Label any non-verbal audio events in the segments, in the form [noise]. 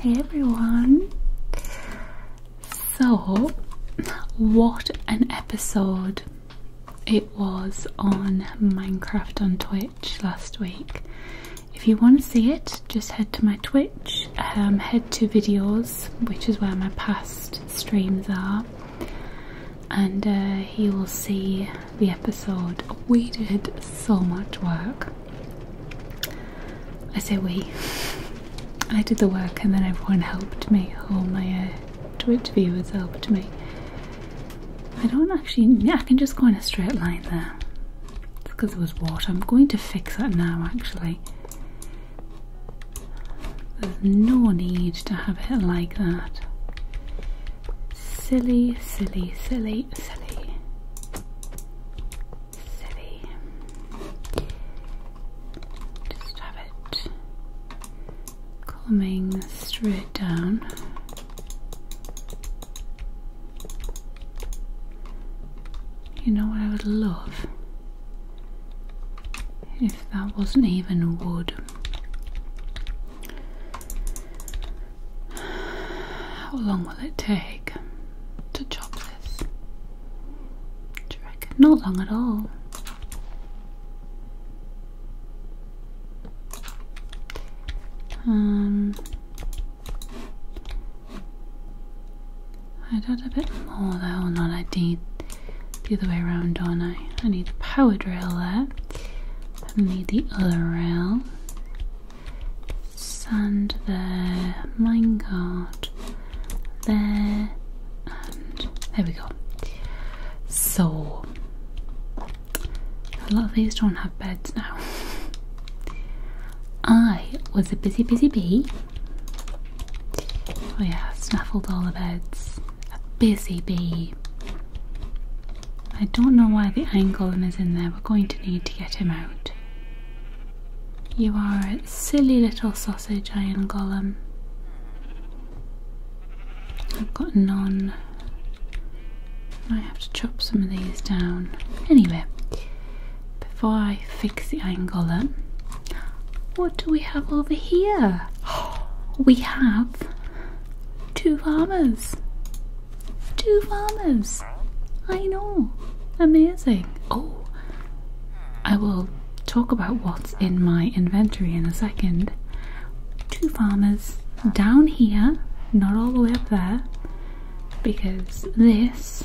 Hey everyone! So, what an episode it was on Minecraft on Twitch last week. If you want to see it, just head to my Twitch, um, head to videos, which is where my past streams are, and uh, he will see the episode. We did so much work. I say we. I did the work and then everyone helped me. All my uh, Twitch viewers helped me. I don't actually. I can just go in a straight line there. It's because there was water. I'm going to fix that now actually. There's no need to have it like that. Silly, silly, silly, silly. Silly. Just have it coming straight down. You know what I would love? If that wasn't even wood how long will it take to chop this? Do Not long at all. Um, I'd add a bit more though, or not. I need the other way around, don't I? I need the power drill there. Let me the other rail. Sand there, minecart there, and there we go. So, a lot of these don't have beds now. [laughs] I was a busy, busy bee. Oh, yeah, snaffled all the beds. A busy bee. I don't know why the angolam is in there. We're going to need to get him out. You are a silly little sausage, angolam. I've got none. I have to chop some of these down. Anyway, before I fix the angolam, what do we have over here? [gasps] We have Two farmers. Two farmers. I know. Amazing. Oh, I will talk about what's in my inventory in a second. Two farmers down here, not all the way up there, because this,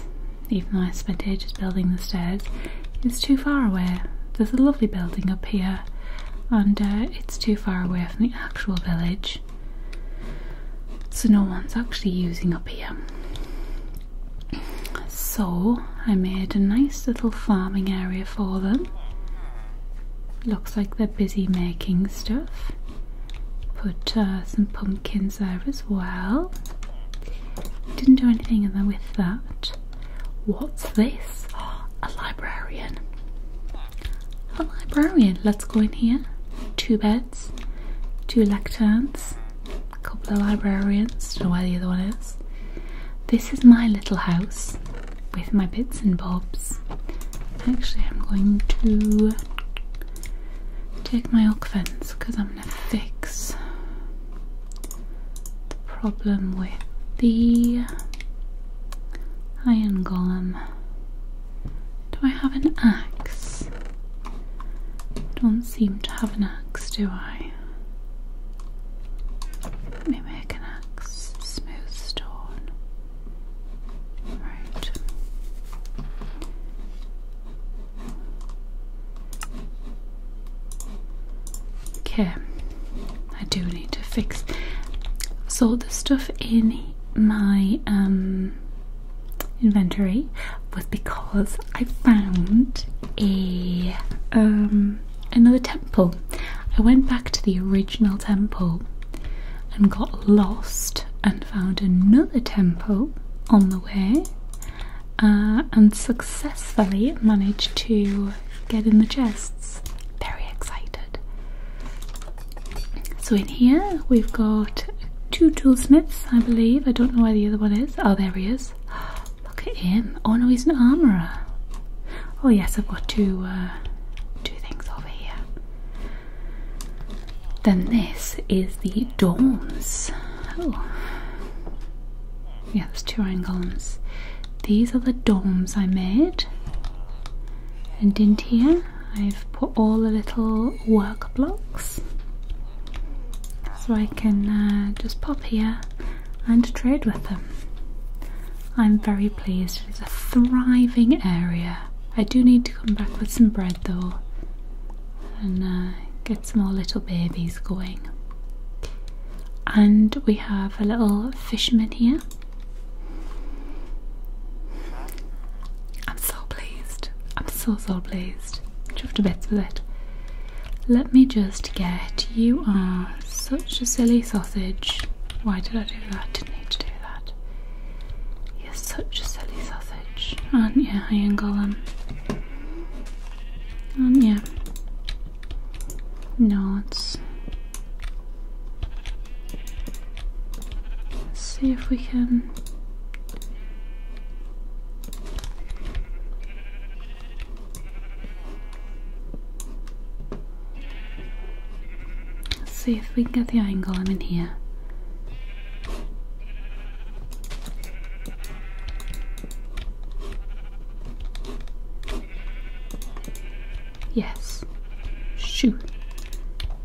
even though I spent ages building the stairs, is too far away. There's a lovely building up here and uh, it's too far away from the actual village, so no one's actually using up here. So I made a nice little farming area for them. Looks like they're busy making stuff. Put uh, some pumpkins there as well. Didn't do anything with that. What's this? a librarian. A librarian. Let's go in here. Two beds, two lecterns, a couple of librarians. Don't know where the other one is. This is my little house with my bits and bobs. Actually, I'm going to take my oak fence because I'm gonna fix the problem with the Iron Golem. Do I have an axe? Don't seem to have an axe, do I? Let me make an axe. Smooth stone. Right. Okay, I do need to fix. So the stuff in my um, inventory was because I found a um, another temple. I went back to the original temple and got lost and found another temple on the way uh, and successfully managed to get in the chests. Very excited. So in here we've got two toolsmiths, I believe. I don't know where the other one is. Oh, there he is. [gasps] Look at him. Oh no, he's an armourer. Oh yes, I've got two, uh, two things over here. Then this is the dawns. Oh. Yeah, there's two iron golems. These are the domes I made, and in here I've put all the little work blocks so I can uh, just pop here and trade with them. I'm very pleased, it's a thriving area. I do need to come back with some bread though and uh, get some more little babies going. And we have a little fisherman here I'm so pleased. I'm so so pleased. Chuffed to bits for that. Let me just get you are such a silly sausage. Why did I do that? Didn't need to do that. You're such a silly sausage, aren't you, Iron Golem? Aren't you? No, it's Let's see if we can see if we can get the angle I'm in here. Yes. Shoot.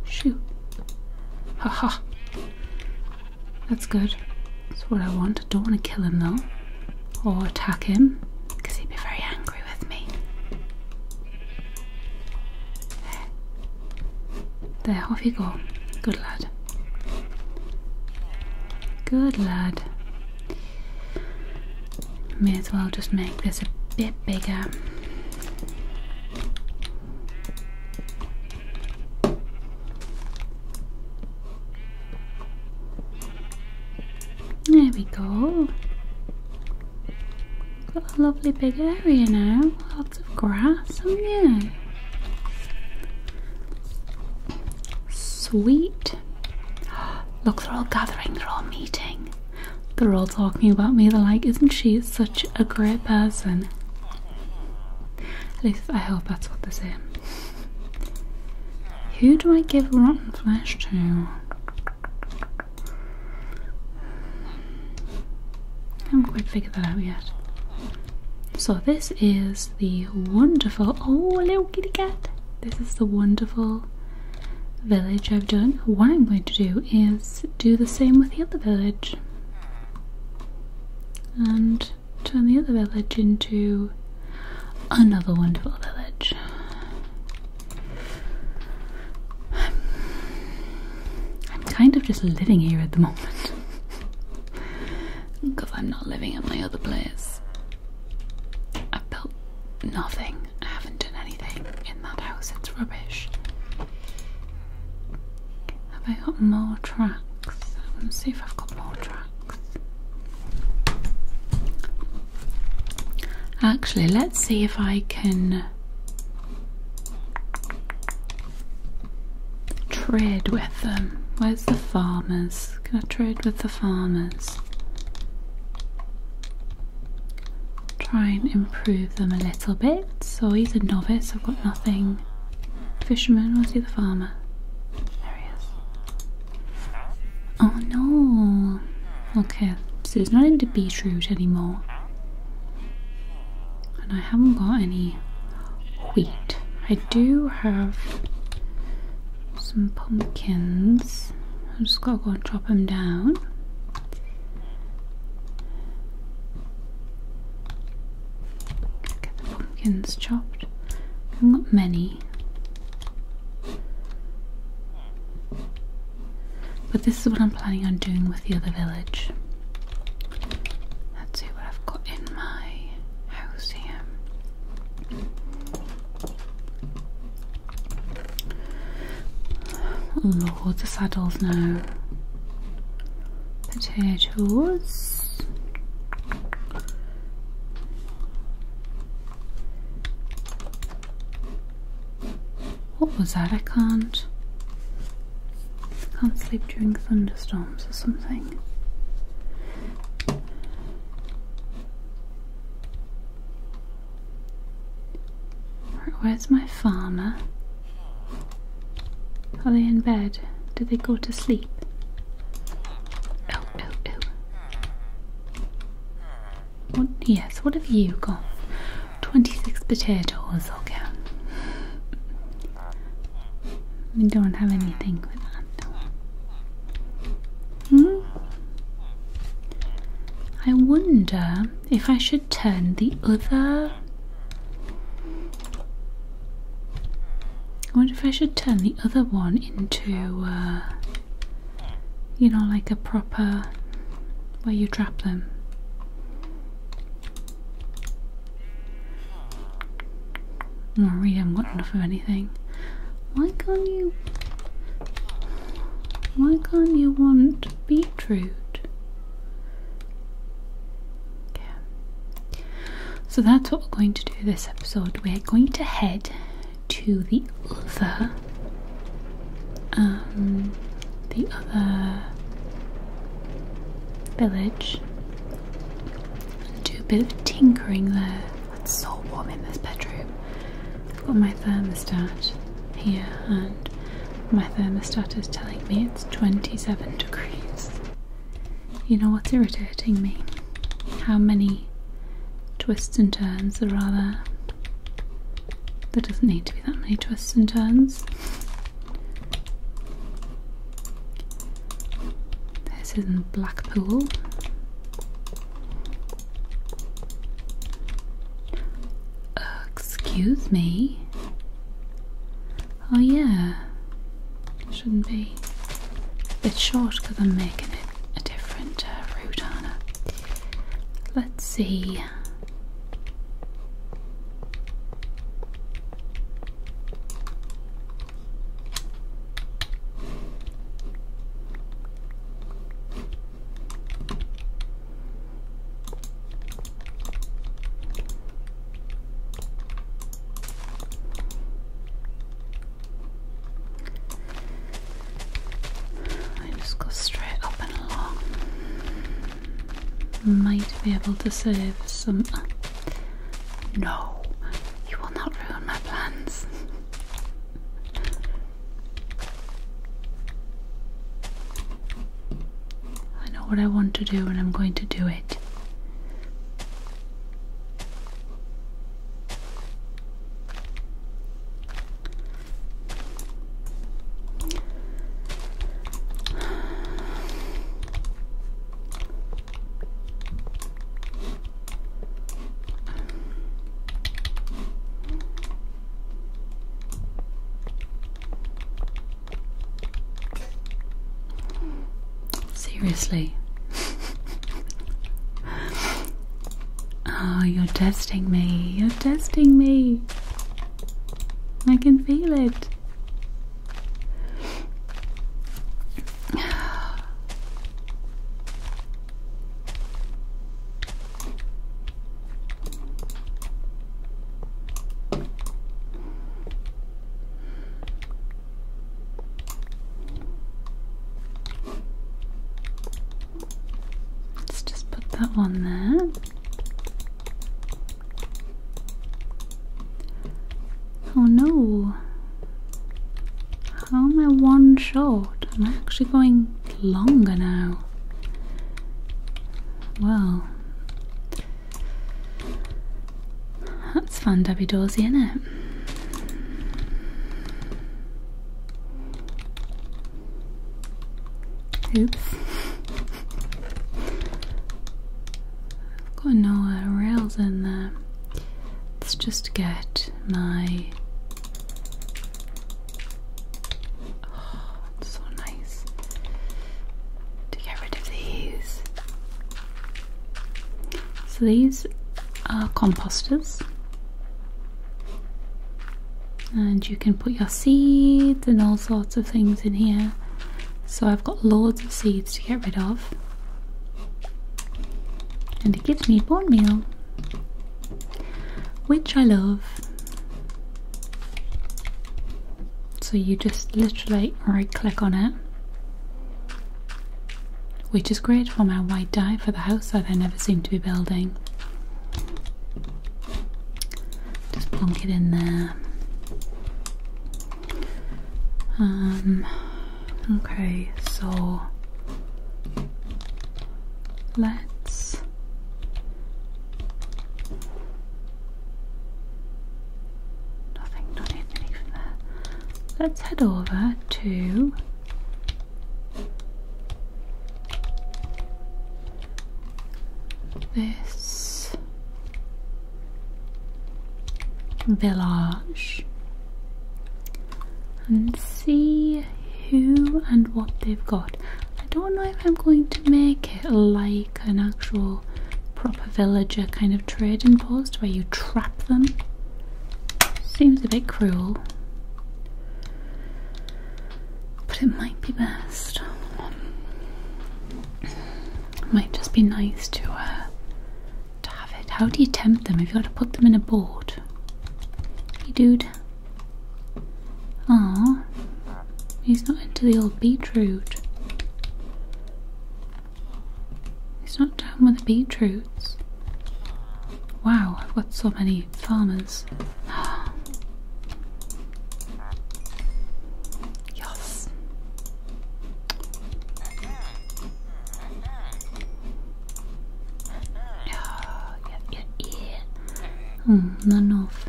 Shoot. Ha That's good. That's what I want. I don't want to kill him though. Or attack him. Because he'd be very angry with me. There, off you go. Good lad. Good lad. May as well just make this a bit bigger. There we go. Got a lovely big area now. Lots of grass, haven't you? Sweet. [gasps] Look, they're all gathering, they're all meeting. They're all talking about me. They're like, isn't she such a great person? At least I hope that's what they say. Who do I give rotten flesh to? I haven't quite figured that out yet. So this is the wonderful, oh little kitty cat. This is the wonderful village I've done, what I'm going to do is do the same with the other village and turn the other village into another wonderful village. I'm, kind of just living here at the moment because I'm not living in my other place. I built nothing. I haven't done anything in that house. It's rubbish. Have I got more tracks? Let's see if I've got more tracks. Actually, let's see if I can trade with them. Where's the farmers? Can I trade with the farmers? try and improve them a little bit. So he's a novice, I've got nothing. Fisherman, was he the farmer? Oh no! Okay, so he's not into beetroot anymore. And I haven't got any wheat. I do have some pumpkins. I've just got to go and chop them down. Get the pumpkins chopped. not many. But this is what I'm planning on doing with the other village. Let's see what I've got in my house here. Oh, loads of saddles now. Potatoes. What was that? I can't. can't sleep during thunderstorms or something. Where's my farmer? Are they in bed? Did they go to sleep? Oh, oh, oh. What, yes, what have you got? 26 potatoes, okay. We don't have anything with that. Hmm? I wonder if I should turn the other. I wonder if I should turn the other one into, uh, you know, like a proper where you trap them. I really haven't got enough of anything. Why can't you? Why can't you want be Okay. So that's what we're going to do this episode. We're going to head to the other um, the other village and do a bit of tinkering there. It's so warm in this bedroom. I've got my thermostat here, and my thermostat is telling me it's 27 degrees. You know what's irritating me? How many twists and turns there are There doesn't need to be that many twists and turns. This is in Blackpool excuse me. Oh yeah. Shouldn't be. A bit short because I'm making it a different uh, route on it. Let's see. I just go straight up and along. Might be able to save some. Uh, no, you will not ruin my plans. [laughs] I know what I want to do and I'm going to do it. Seriously. oh, you're testing me. You're testing me. I can feel it. Let's just put that one there. Oh no, how am I one short? I'm actually going longer now. Well, that's fun, Debbie Doorsy, isn't it? Oops. I've got no rails in there. Let's just get my Oh, that's so nice to get rid of these. So these are composters, and you can put your seeds and all sorts of things in here. So I've got loads of seeds to get rid of, and it gives me bone meal, which I love. So you just literally right click on it, which is great for my white die for the house that I never seem to be building. Just plonk it in there. Um, okay, so let's Nothing, not anything there. Let's head over to this village and see who and what they've got. I don't know if I'm going to make it like an actual proper villager kind of trading post where you trap them. Seems a bit cruel. But it might be best. might just be nice to uh, to have it. How do you tempt them? Have you got to put them in a boat? Hey dude, Ah, he's not into the old beetroot. He's not down with the beetroots. Wow, I've got so many farmers. [gasps] yes. Yeah, yeah, yeah. Mm, none of.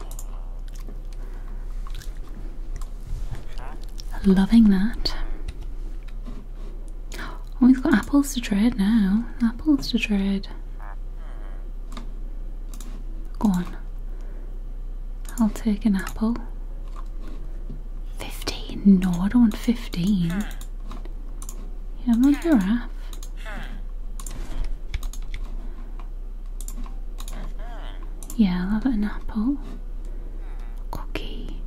Loving that. Oh, we've got apples to trade now. Apples to trade. Go on. I'll take an apple. 15? No, I don't want 15. You have a giraffe. Yeah, I'll have an apple. Cookie.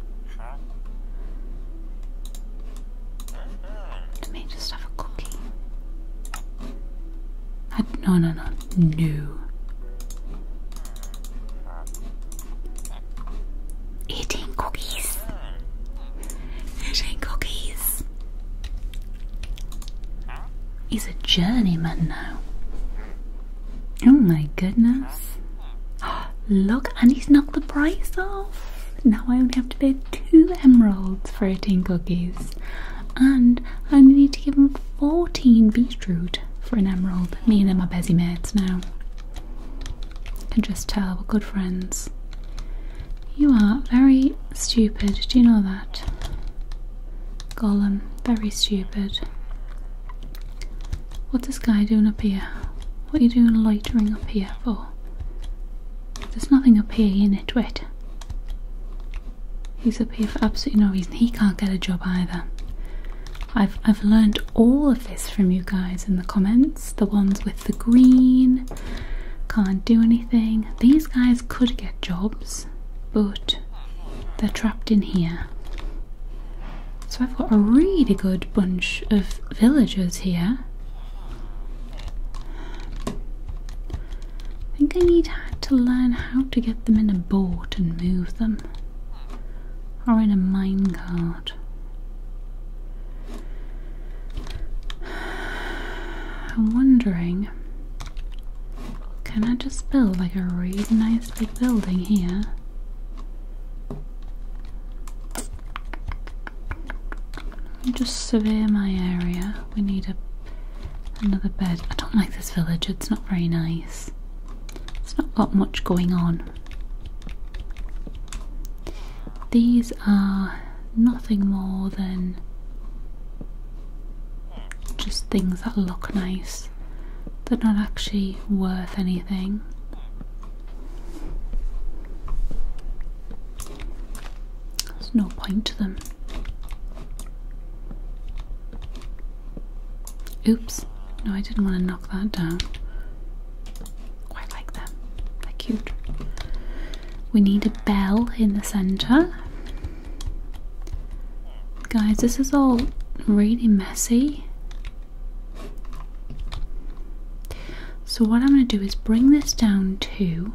Let me just have a cookie. I, no, no, no. No. Eating cookies. Eating cookies. He's a journeyman now. Oh my goodness. [gasps] Look, and he's knocked the price off. Now I only have to bid two emeralds for 18 cookies. And I only need to give him 14 beetroot for an emerald. Me and him are busy mates now. I can just tell we're good friends. You are very stupid, do you know that? Golem, very stupid. What's this guy doing up here? What are you doing loitering up here for? There's nothing up here, in it, wet. He's up here for absolutely no reason. He can't get a job either. I've I've learned all of this from you guys in the comments. The ones with the green can't do anything. These guys could get jobs but they're trapped in here. So I've got a really good bunch of villagers here. I think I need to learn how to get them in a boat and move them, or in a minecart. [sighs] I'm wondering can I just build like a really nice big building here? Just survey my area. We need a another bed. I don't like this village. It's not very nice. It's not got much going on. These are nothing more than just things that look nice. but not actually worth anything. There's no point to them. Oops, no, I didn't want to knock that down. Quite like them, they're cute. We need a bell in the centre. Guys, this is all really messy. So what I'm going to do is bring this down to,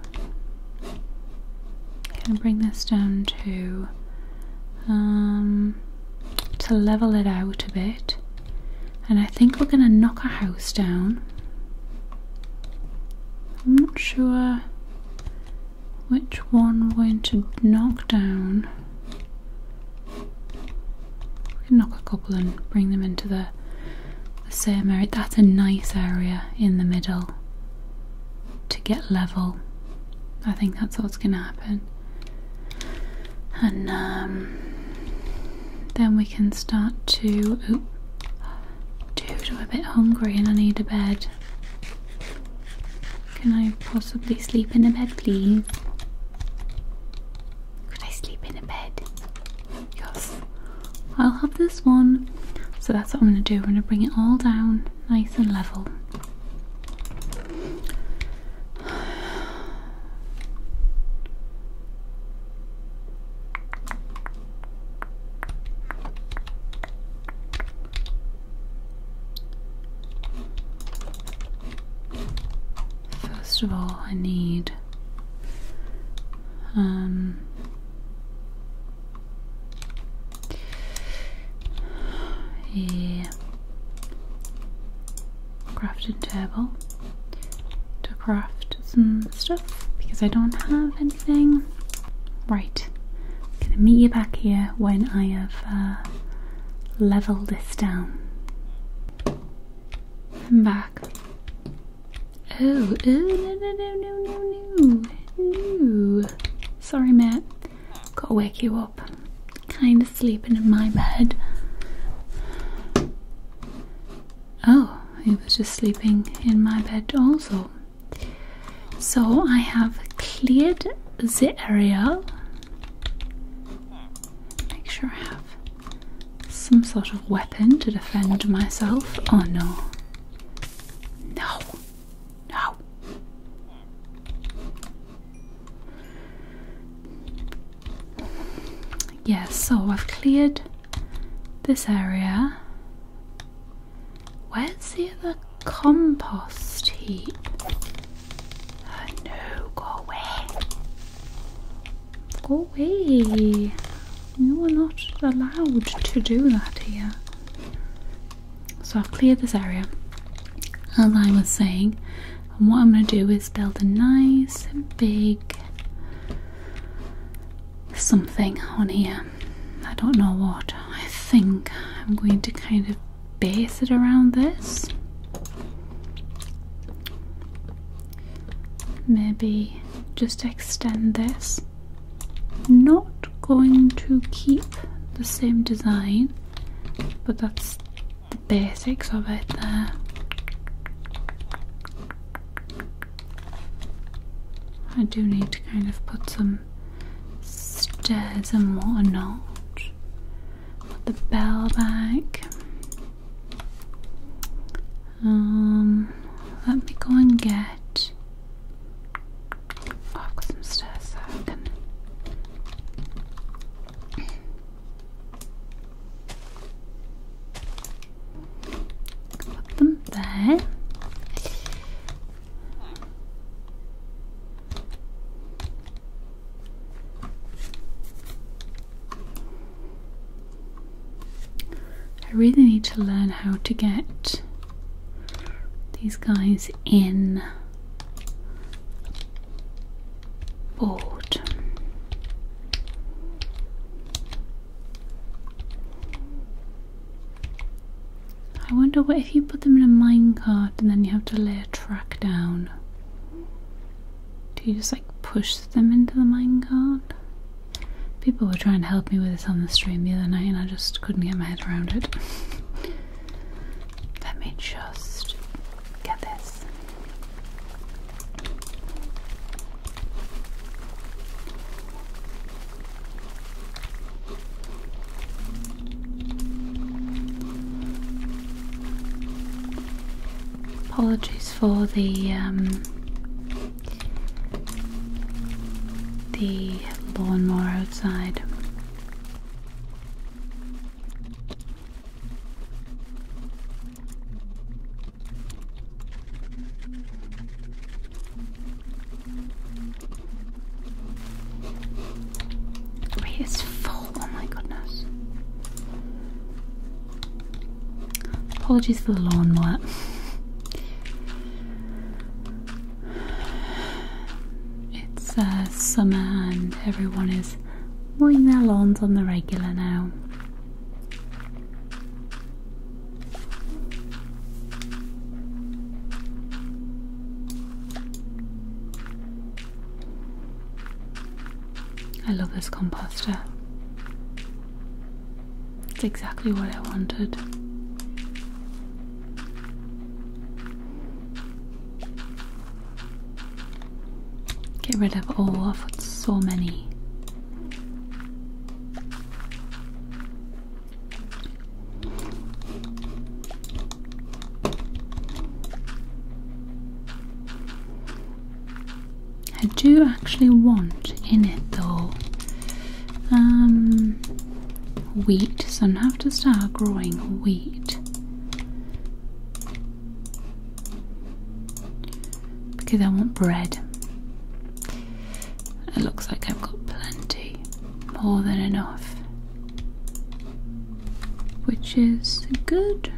can bring this down to, um, to level it out a bit. And I think we're going to knock a house down. I'm not sure which one we're going to knock down. We can knock a couple and bring them into the, the That's a nice area in the middle to get level. I think that's what's going to happen. And um, then we can start to. Ooh, dude, I'm a bit hungry and I need a bed. Can I possibly sleep in a bed, please? Could I sleep in a bed? Yes. I'll have this one. So that's what I'm going to do. I'm going to bring it all down nice and level. First of all, I need um, a crafting table to craft some stuff because I don't have any anything? Right, I'm going to meet you back here when I have uh, leveled this down. I'm back. Oh, oh, no, no, no, no, no, no, no. Sorry, Matt. Gotta wake you up. Kinda sleeping in my bed. Oh, he was just sleeping in my bed also. So I have cleared the area. Make sure I have some sort of weapon to defend myself. Oh no. No. No. Yes, yeah, so I've cleared this area. Where's the other compost heap? Oh, no, go away. Go away. You are not allowed to do that here. So I've cleared this area, as I was saying. And what I'm going to do is build a nice big something on here. I don't know what. I think I'm going to kind of base it around this. Maybe just extend this. Not going to keep the same design, but that's the basics of it there. I do need to kind of put some um, stairs and whatnot. Put the bell back. Um, let me go and get. Oh, I've got some stairs so can. Put them there. I really need to learn how to get these guys in board. I wonder what if you put them in a minecart and then you have to lay a track down. Do you just like push them into the minecart? People were trying to help me with this on the stream the other night and I just couldn't get my head around it. [laughs] Let me just get this. Apologies for the um, the lawnmower outside it's full. Oh my goodness. Apologies for the lawn lawnmower. It's uh, summer and everyone is mowing their lawns on the regular now. I love this composter. It's exactly what I wanted. Get rid of all, of so many. I do actually want in it though um, wheat, so I'm gonna have to start growing wheat because I want bread. It looks like I've got plenty, more than enough which is good.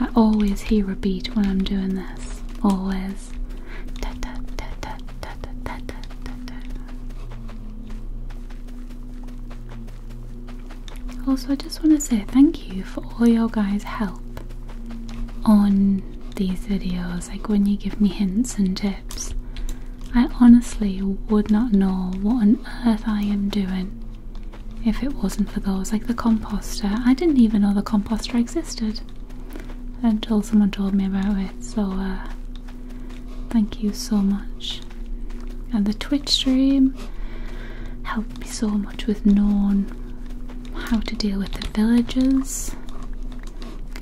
I always hear a beat when I'm doing this. Always. Also, I just want to say thank you for all your guys' help on these videos. Like when you give me hints and tips, I honestly would not know what on earth I am doing if it wasn't for those. Like the composter, I didn't even know the composter existed until someone told me about it. So, uh, thank you so much. And the Twitch stream helped me so much. With was known how to deal with the villagers,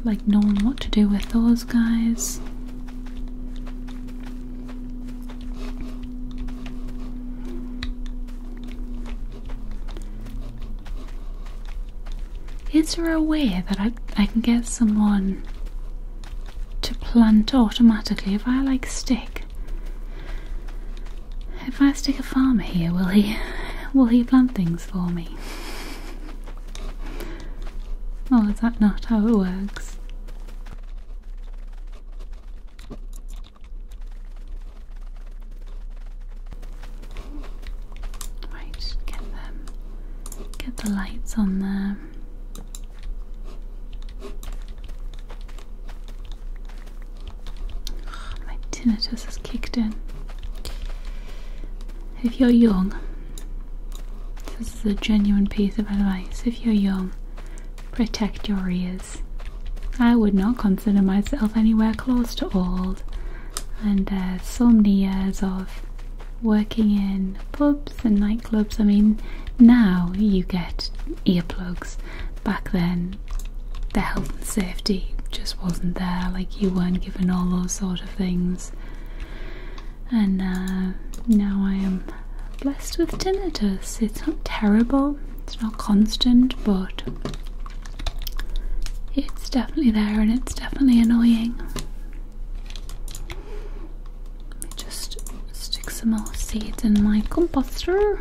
like knowing what to do with those guys. Is there a way that I, I can get someone to plant automatically if I like stick? If I stick a farmer here, will he will he plant things for me? Oh, is that not how it works? Right, get them get the lights on there. My tinnitus has kicked in. If you're young, this is a genuine piece of advice. If you're young, protect your ears. I would not consider myself anywhere close to old, and so many years of working in pubs and nightclubs. I mean, now you get earplugs. Back then, the health and safety just wasn't there. Like you weren't given all those sort of things. And uh, now I am blessed with tinnitus. It's not terrible. It's not constant, but it's definitely there, and it's definitely annoying. Just stick some more seeds in my composter.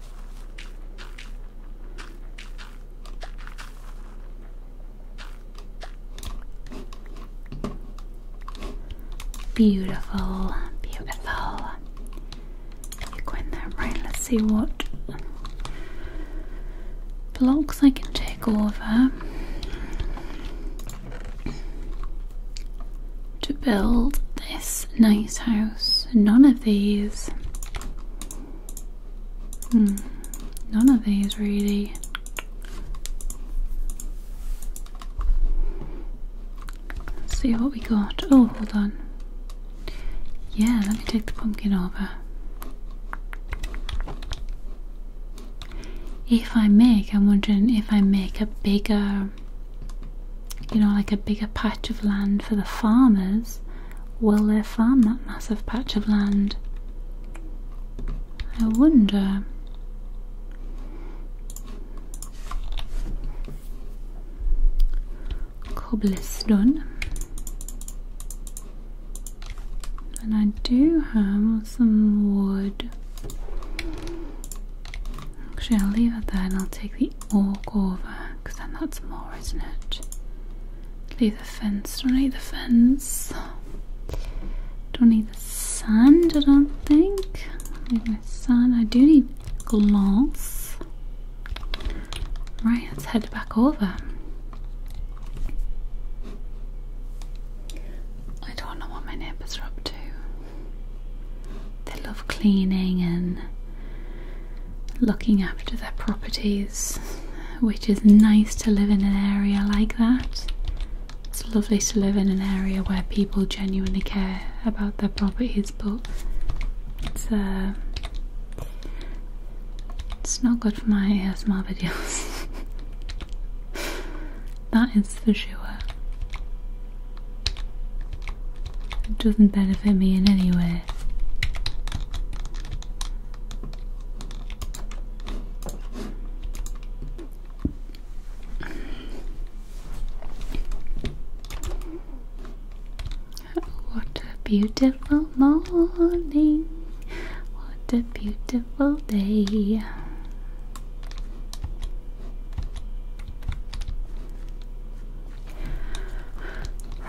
Beautiful, beautiful. You're going there, right? Let's see what blocks I can take over to build this nice house. None of these. Hmm. None of these really. see what we got. Oh, hold on. Yeah, let me take the pumpkin over. If I make, I'm wondering if I make a bigger you know, like a bigger patch of land for the farmers, will they farm that massive patch of land? I wonder. Cobblestone. And I do have some wood. Actually, I'll leave it there and I'll take the Walk over because then that's more isn't it leave the fence don't need the fence don't need the sun. I don't think need the sun. I do need glass right let's head back over I don't know what my neighbours are up to they love cleaning and looking after their properties, which is nice to live in an area like that. It's lovely to live in an area where people genuinely care about their properties, but it's uh, not good for my ASMR videos. [laughs] that is for sure. It doesn't benefit me in any way. What a beautiful morning! What a beautiful day!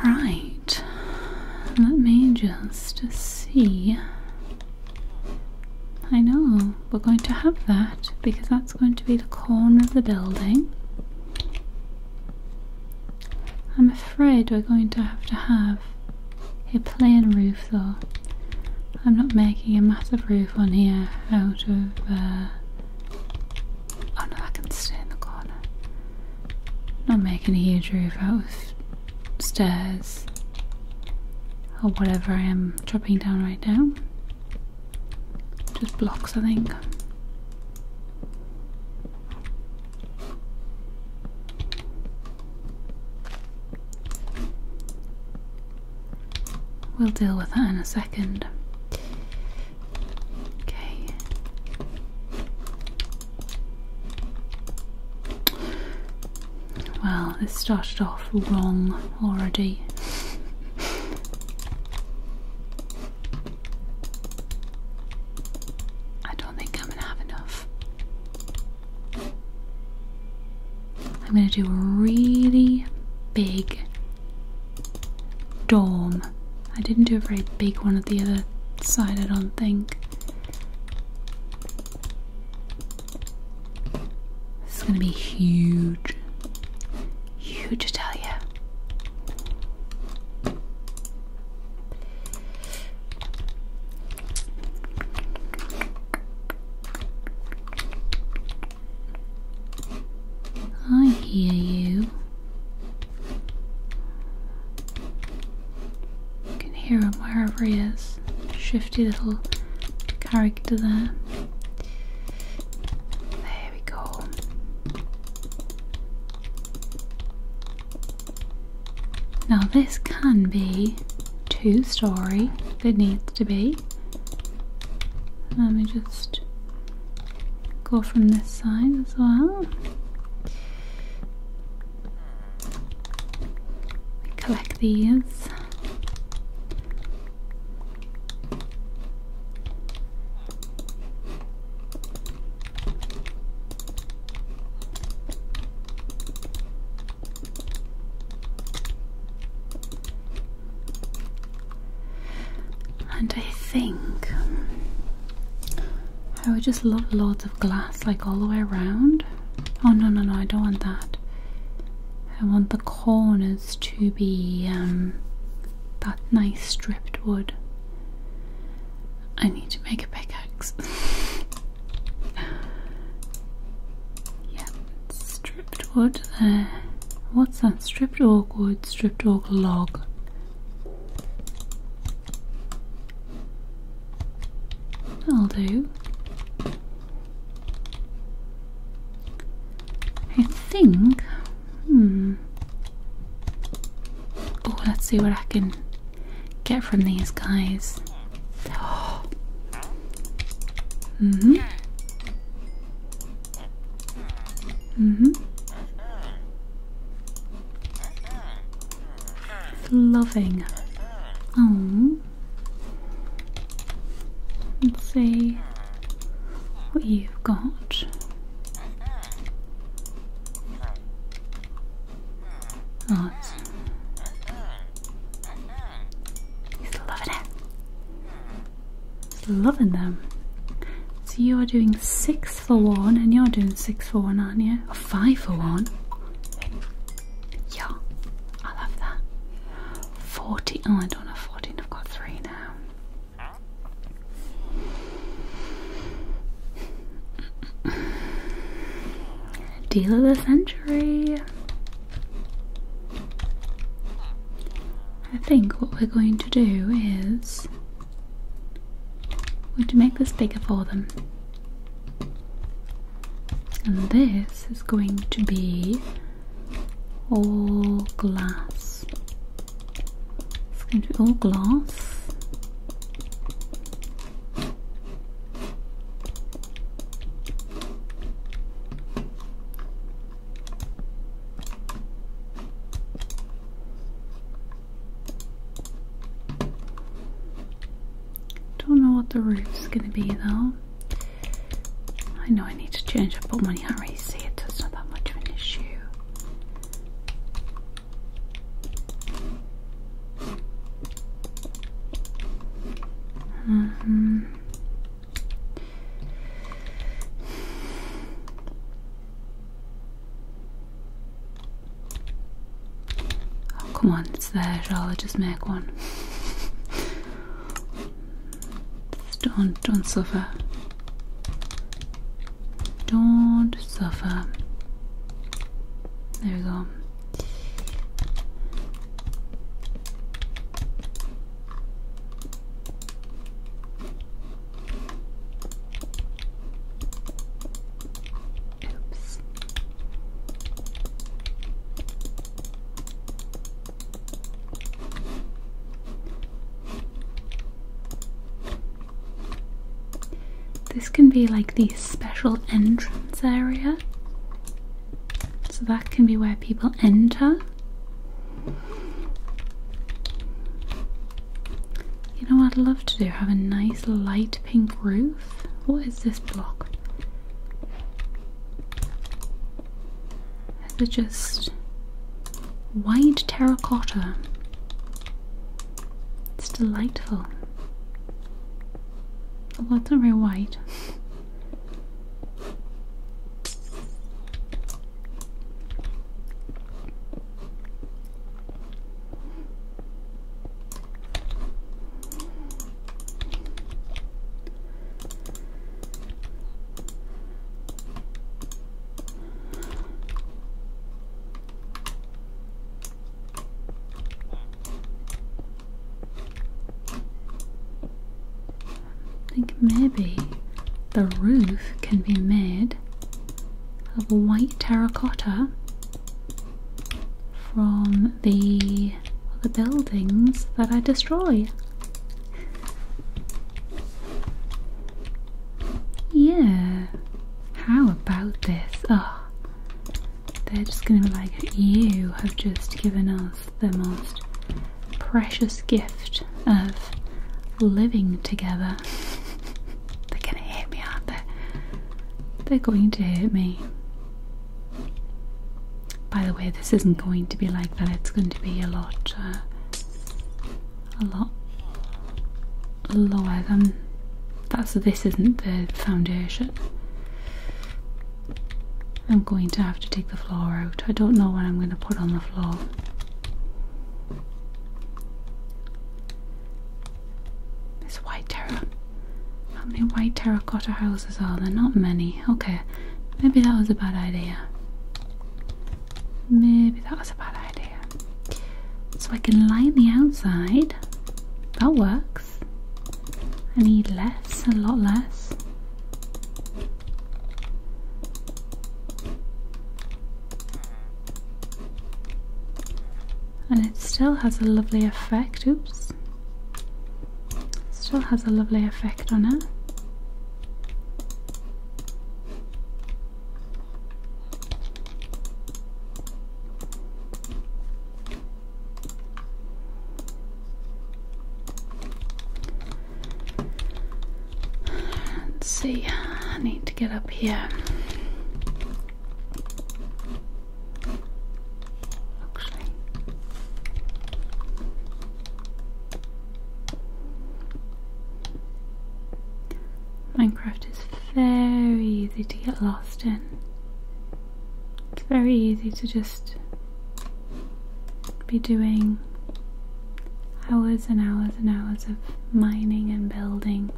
Right. Let me just see. I know we're going to have that because that's going to be the corner of the building. I'm afraid we're going to have to have a plain roof though. I'm not making a massive roof on here out of uh, Oh no, I can stay in the corner. Not making a huge roof out of stairs or whatever I am dropping down right now. Just blocks, I think. We'll deal with that in a second. Okay. Well, this started off wrong already. I don't think I'm gonna have enough. I'm gonna do a really big dorm. I didn't do a very big one at the other side, I don't think. This is going to be huge. Huge, I tell you. I hear you. You can hear him wherever he is. Shifty little character there. There we go. Now, this can be two story it needs to be. Let me just go from this side as well. collect these. And I think I would just love loads of glass like all the way around. Oh no no no I don't want that. I want the corners to be um, that nice stripped wood. I need to make a pickaxe. [laughs] yeah, stripped wood there. Uh, what's that? Stripped oak wood, stripped oak log i will do. I think. Hmm. Oh, let's see what I can get from these guys. [gasps] hmm. Mm-hmm. Loving. Oh. Let's see what you've got. Oh, he's loving it. Loving them. So you're doing six for one, and you're doing six for one, aren't you? five for one. Yeah, I love that. 40. Oh, I don't have 14, I've got three now. Deal of the century. I think what we're going to do is we Would you make this bigger for them? And this is going to be all glass. It's going to be all glass. Don't know what the roof's gonna be though. I know I need to change up, but when you can't really see it, it's not that much of an issue. Mm Oh, come on, it's there, I'll just make one. don't, don't suffer. Don't suffer. There we go. This can be like the special entrance area. So that can be where people enter you know what I'd love to do? Have a nice light pink roof. What is this block? It's just white terracotta? It's delightful. Well, it's not very white. I think maybe the roof can be made of white terracotta from the buildings that I destroy. Yeah. How about this? Oh, they're just gonna be like, you have just given us the most precious gift of living together. [laughs] They're gonna hit me, aren't they? They're going to hurt me. By the way, this isn't going to be like that. It's going to be a lot, uh, a lot lower than that. this isn't the foundation. I'm going to have to take the floor out. I don't know what I'm going to put on the floor. It's white terror. How many white terracotta houses are there? Not many. Okay, maybe that was a bad idea. Maybe that was a bad idea. So I can line the outside. That works. I need less, a lot less and it still has a lovely effect. Oops, still has a lovely effect on it. Let's see, I need to get up here. Actually, Minecraft is very easy to get lost in. It's very easy to just be doing hours and hours and hours of mining and building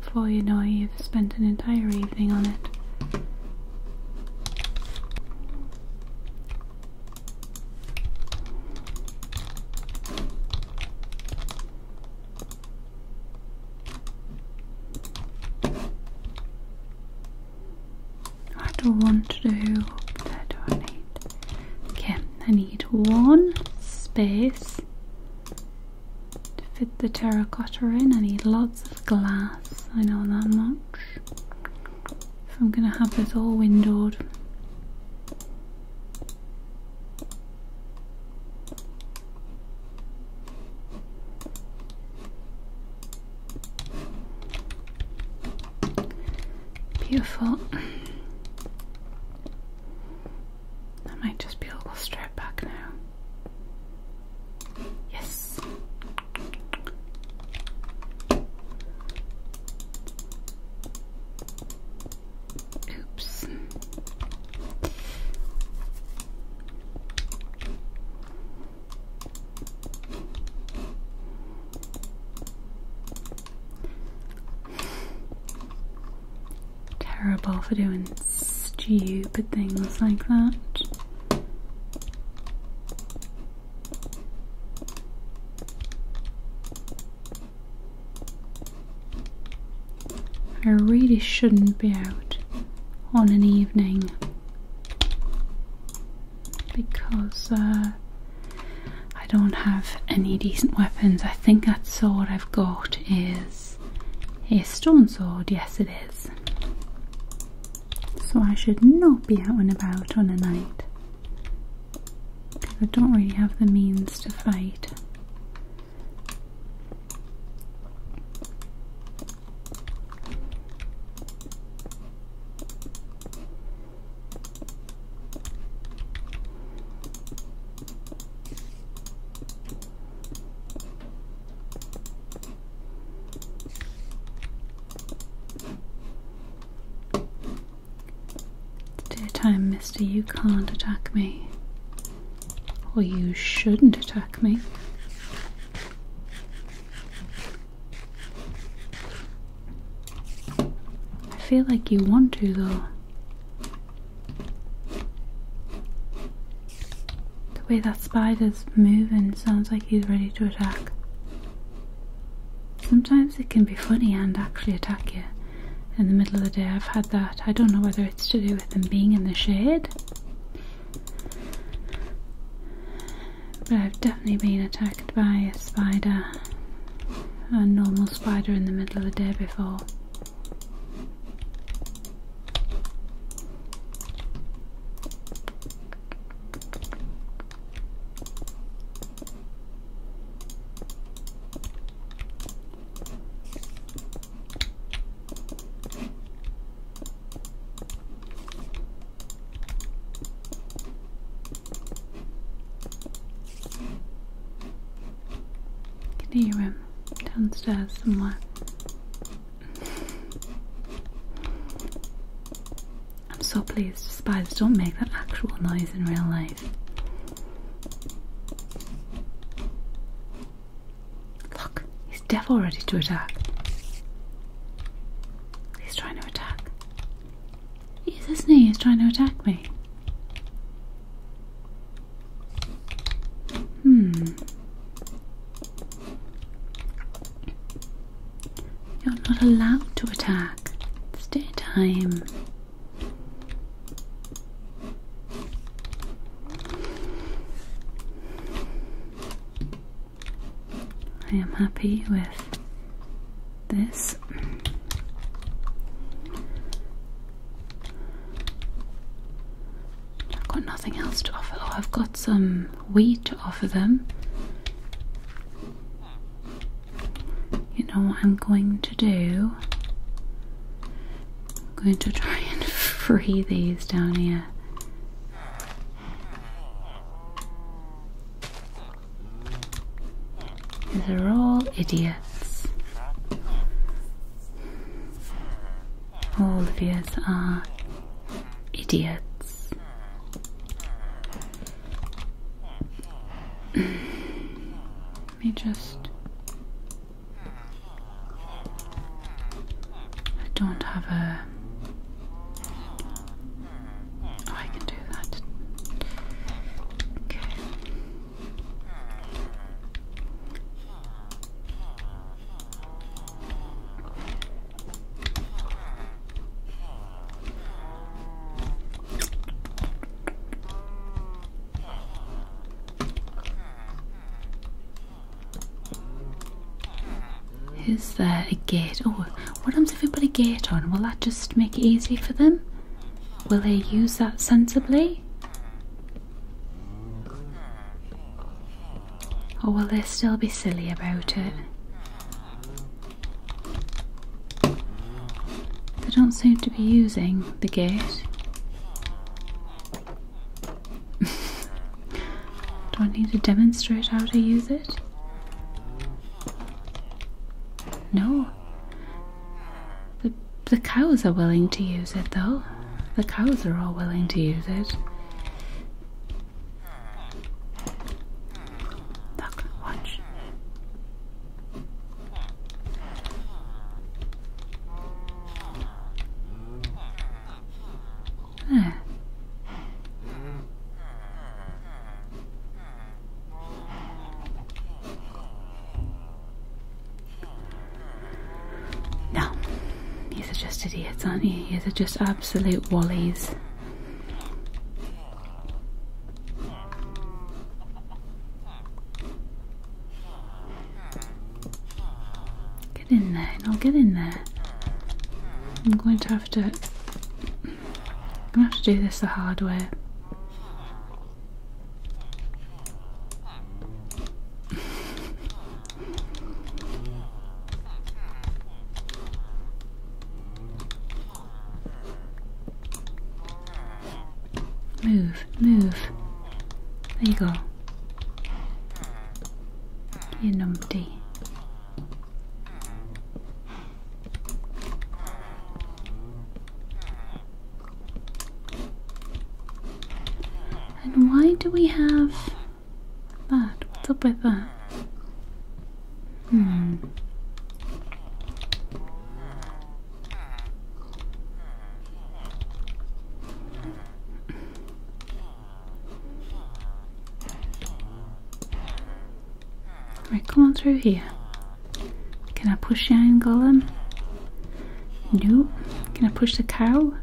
before you know it, you've spent an entire evening on it. I don't want to Okay, I need one space to fit the terracotta in. I need lots of glass, I know that much. So I'm going to have this all windowed. Beautiful. That might just be a little straight back now. Yes. Oops. Terrible for doing stupid things like that. I really shouldn't be out on an evening because uh, I don't have any decent weapons. I think that sword I've got is a stone sword. Yes, it is. So I should not be out and about on a night. Because I don't really have the means to fight. Daytime, mister, you can't attack me. Or you shouldn't attack me. I feel like you want to, though. The way that spider's moving sounds like he's ready to attack. Sometimes it can be funny and actually attack you. In the middle of the day, I've had that. I don't know whether it's to do with them being in the shade, but I've definitely been attacked by a spider, a normal spider, in the middle of the day before. I can hear him um, downstairs somewhere. I'm so pleased spiders don't make that actual noise in real life. Look, he's devil ready to attack. He's trying to attack. He's isn't He's trying to attack me. Hmm. You're not allowed to attack. Stay time. I am happy with this. I've got nothing else to offer. Oh, I've got some wheat to offer them. You know what I'm going to do? I'm going to try [laughs] and free these down here. These are all idiots. All of you are idiots. Let me just. I don't have a. Oh, can do that. Is there a gate? Oh, what happens if we put a gate on? Will that just make it easy for them? Will they use that sensibly? Or will they still be silly about it? They don't seem to be using the gate. [laughs] Do I need to demonstrate how to use it? No, the, the cows are willing to use it though. The cows are all willing to use it. Look, watch. Ah. No, these are just idiots, aren't he? These are just absolute wallys. Get in there, and I'll get in there. I'm going to have to. I'm going to have to do this the hard way. Move, move. There you go. You are numpty. And why do we have that? What's up with that? Hmm. Right, come on through here. Can I push Iron Golem? No. Can I push the cow?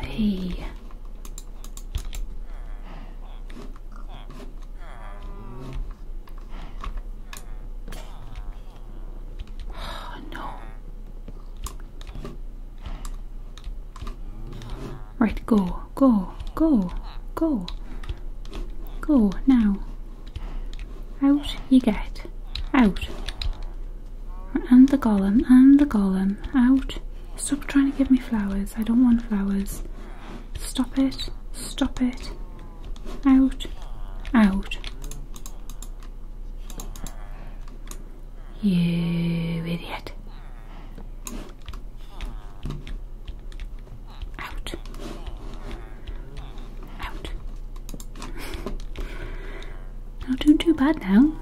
Hey. [sighs] Oh, no. Right, go, go, go, go, go now. Out you get, out. And the golem, and the golem, out. Stop trying to give me flowers, I don't want flowers. Stop it, stop it. Out, out. You idiot. Out. Out. Not doing too bad now.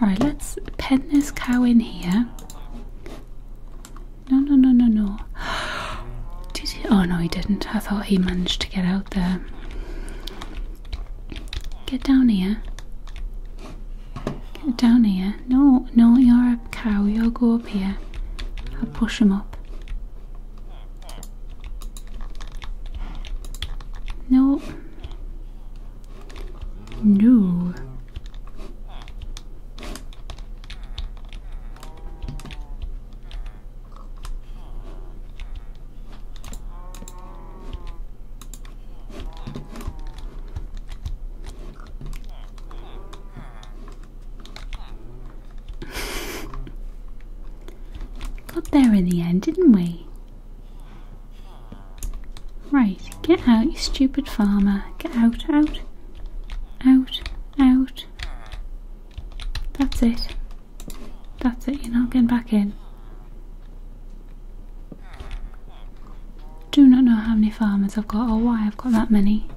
Alright, let's pen this cow in here. No, no, no, no, no. [gasps] Did he? Oh no, he didn't. I thought he managed to get out there. Get down here. Get down here. No, no, you're a cow. You'll go up here. I'll push him up. No. No. Got there in the end, didn't we? Right, get out, you stupid farmer. Get out, out, out, out. That's it. That's it, you're not getting back in. Do not know how many farmers I've got Oh, why I've got that many.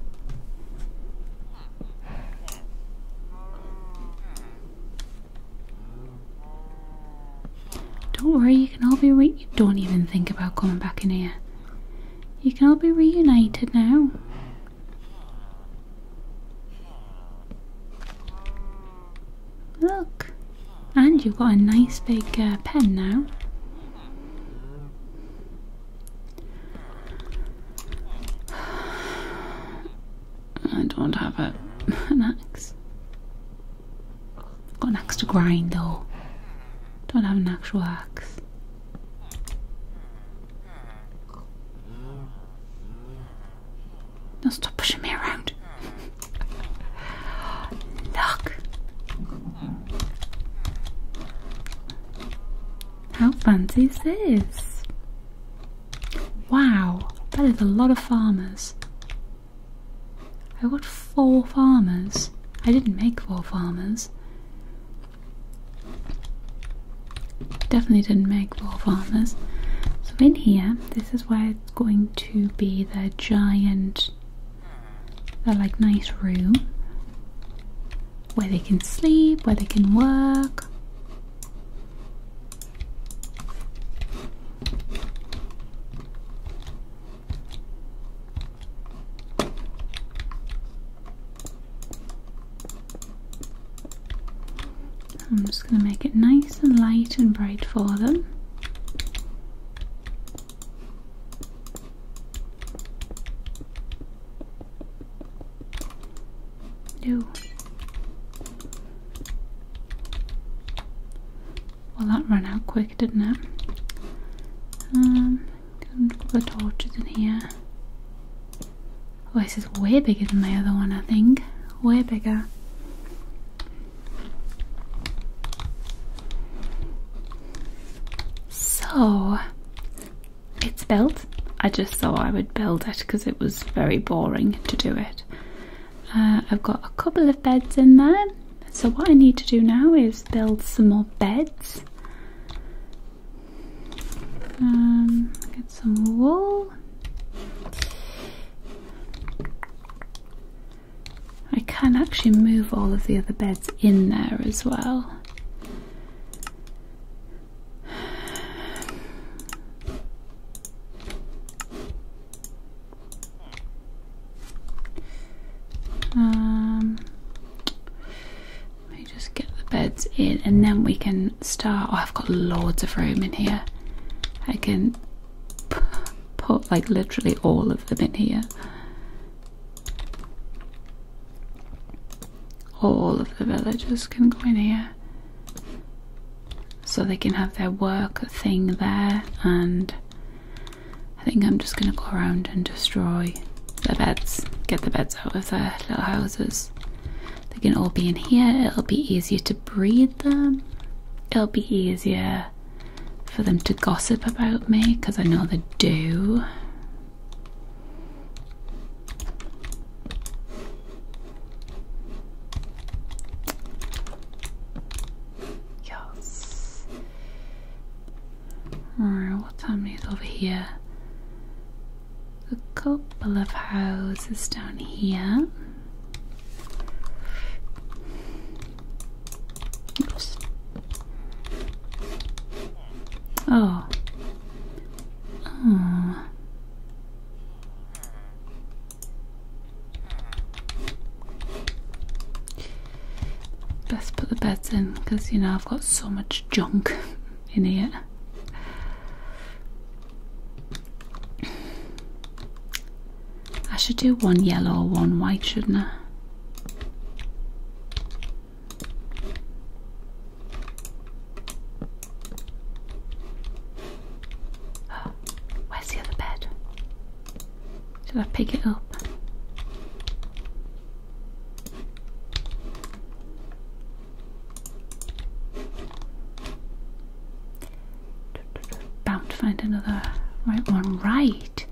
Don't worry, you can all be re- you don't even think about coming back in here. You can all be reunited now. Look! And you've got a nice big uh, pen now. I don't have an ax got an axe to grind though. Don't have an actual axe. Now stop pushing me around. Look. How fancy is this? Wow, that is a lot of farmers. I got four farmers. I didn't make four farmers. Definitely didn't make raw farmers. So in here, this is where it's going to be the giant, the like nice room where they can sleep, where they can work. I'm just going to make it nice and light and bright for them. No. Well, that ran out quick, didn't it? Um, Got a couple torches in here. Oh, this is way bigger than my other one, I think. Way bigger. So, it's built. I just thought I would build it because it was very boring to do it. Uh, I've got a couple of beds in there. So what I need to do now is build some more beds. Um, get some wool. I can actually move all of the other beds in there as well. Um, just get the beds in and then we can start. Oh, I've got loads of room in here. I can put like literally all of them in here. All of the villagers can go in here. So they can have their work thing there, and I think I'm just going to go around and destroy the beds, get the beds out of their little houses. They can all be in here. It'll be easier to breed them. It'll be easier for them to gossip about me because I know they do. Yes. Alright, what time is over here? a couple of houses down here. Oh. Oh. Best put the beds in because you know I've got so much junk. [laughs] in here. I should do one yellow, one white, shouldn't I? [gasps] where's the other bed? Should I pick it up? Bound to find another right one. Right.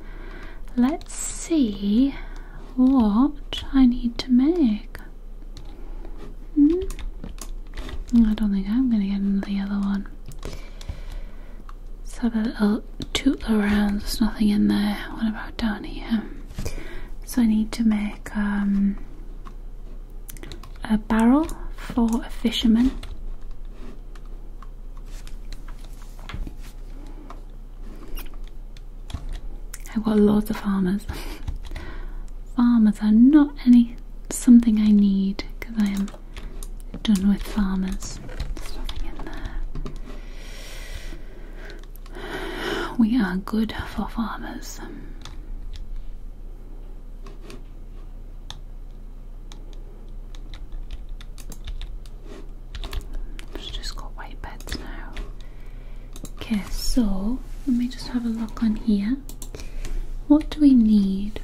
Let's see what I need to make. Hmm? I don't think I'm going to get into the other one. So us have a little toot around. There's nothing in there. What about down here. Um, so I need to make um, a barrel for a fisherman. I've got lots of farmers. [laughs] farmers are not any something I need because I am done with farmers. We are good for farmers. just got white beds now. Okay, so let me just have a look on here. What do we need?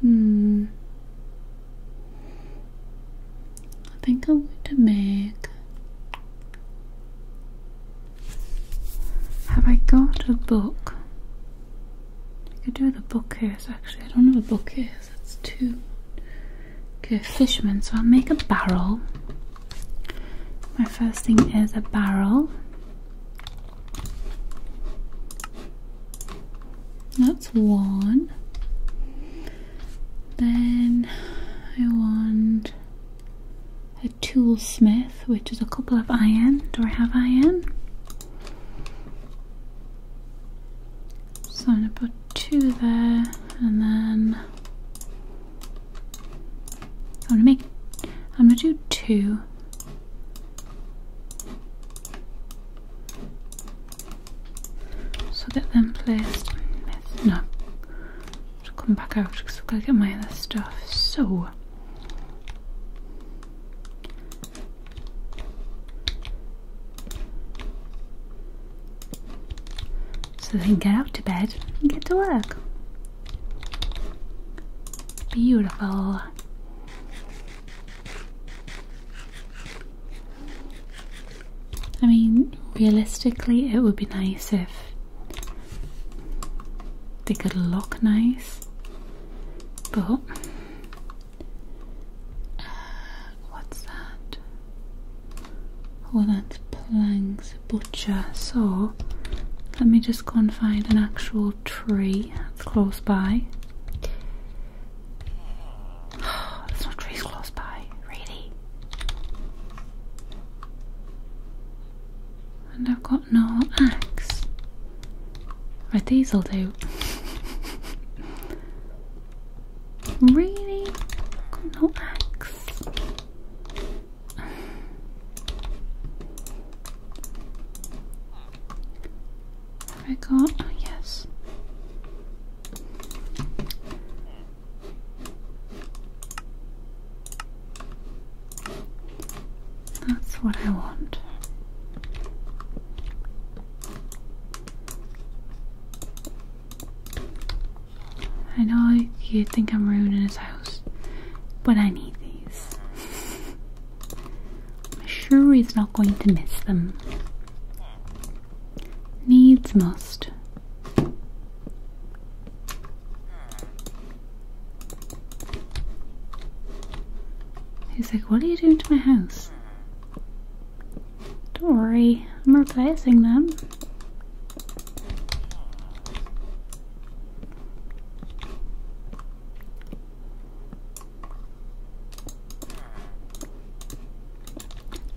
Hmm. I think I'm going to make have I got a book? I could do the book here. actually. I don't have a bookcase, that's two. Okay, fisherman. So I'll make a barrel. My first thing is a barrel. That's one. Then I want a toolsmith, which is a couple of iron. Do I have iron? So I'm going to put two there and then I'm going to make, I'm going to do two. So get them placed. No, come back out because I've got to get my other stuff. So So then get out to bed and get to work. Beautiful. I mean, realistically, it would be nice if they could look nice, but uh, what's that? Oh, that's Planks Butcher. So let me just go and find an actual tree that's close by. [sighs] There's no trees close by, really. And I've got no axe. Right, diesel, do. [laughs] really? i got no axe. I got oh, yes. That's what I want. I know you think I'm ruining his house, but I need these. I'm sure he's not going to miss them. Needs must. He's like, what are you doing to my house? Don't worry, I'm replacing them.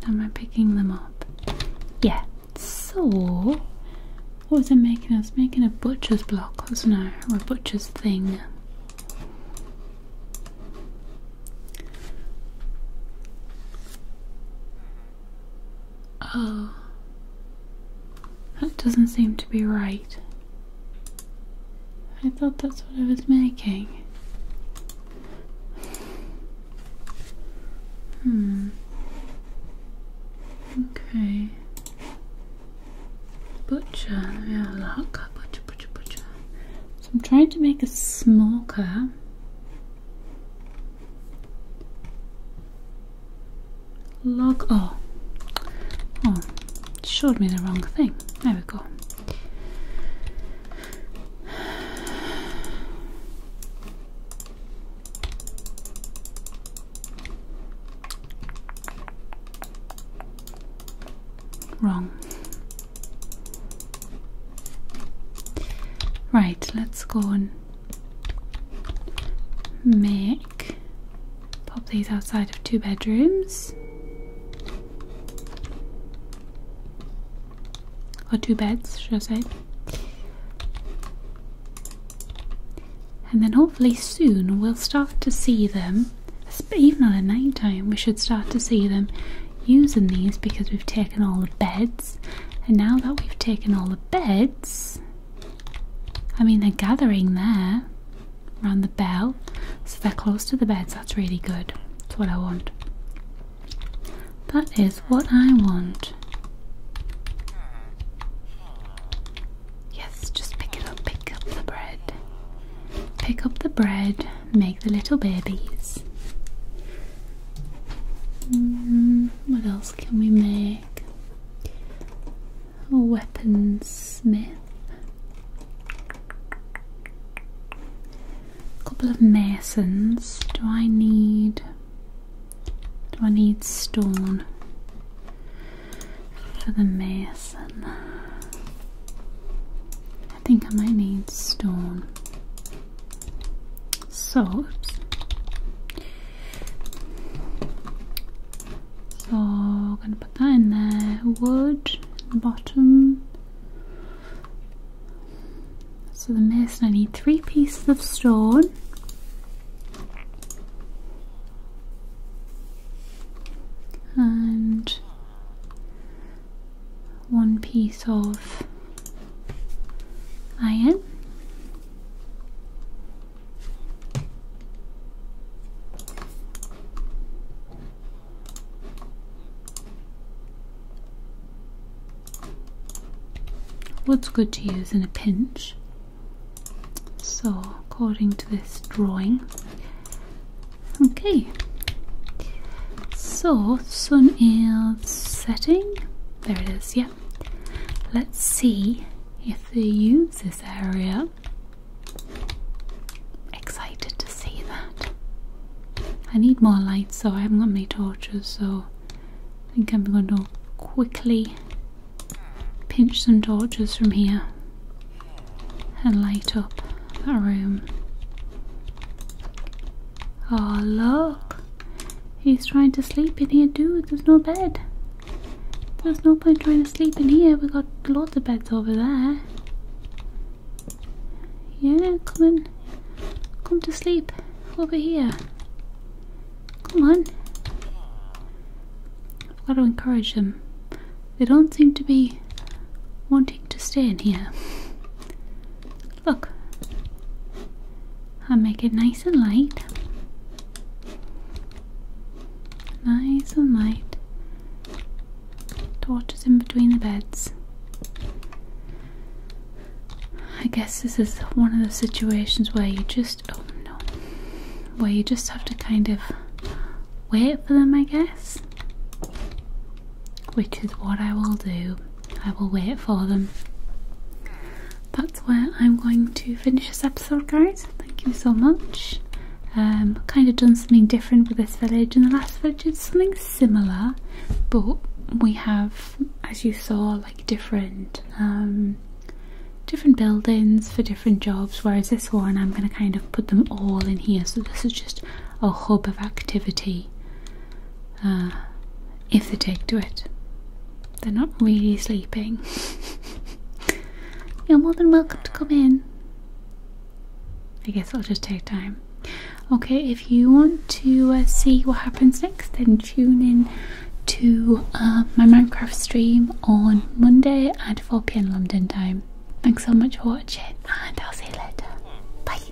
Am I picking them up? Yeah, so, what was I making? I was making a butcher's block, wasn't I? Or a butcher's thing. Oh, that doesn't seem to be right. I thought that's what I was making. Hmm. Okay. Butcher. Let me have Butcher, butcher, butcher. So I'm trying to make a smoker. Log. Oh. Oh. It showed me the wrong thing. There we go. Wrong. Right, let's go and make pop these outside of two bedrooms or two beds, should I say? And then hopefully soon we'll start to see them, even at night time, we should start to see them using these because we've taken all the beds. And now that we've taken all the beds, I mean, they're gathering there around the bell, so they're close to the beds. That's really good. That's what I want. That is what I want. Yes, just pick it up, pick up the bread. Pick up the bread, make the little babies. Mm, what else can we make? A oh, weaponsmith. A couple of masons. Do I need do I need stone for the mason? I think I might need stone. So, so I'm gonna put that in there. Wood in the bottom. So the mason, I need three pieces of stone and one piece of iron. What's good to use in a pinch so according to this drawing okay so sun is setting there it is yeah let's see if they use this area excited to see that i need more light, so i haven't got many torches so i think i'm going to quickly pinch some torches from here and light up that room. Oh, look! He's trying to sleep in here, dude. There's no bed. There's no point trying to sleep in here. We've got lots of beds over there. Yeah, come in. Come to sleep over here. Come on. I've got to encourage them. They don't seem to be wanting to stay in here. Look. I'll make it nice and light. Nice and light. Torches in between the beds. I guess this is one of the situations where you just just, oh no. Well, you just have to kind of wait for them, I guess. Which is what I will do. I will wait for them. That's where I'm going to finish this episode, guys. Thank you so much. Um, kind of done something different with this village and the last village did something similar, but we have, as you saw, like different um, different buildings for different jobs, whereas this one I'm going to kind of put them all in here. So this is just a hub of activity. Uh, if they take to it, they're not really sleeping. [laughs] You're more than welcome to come in. I guess it'll just take time. Okay, if you want to uh, see what happens next, then tune in to uh, my Minecraft stream on Monday at 4pm London time. Thanks so much for watching and I'll see you later. Bye!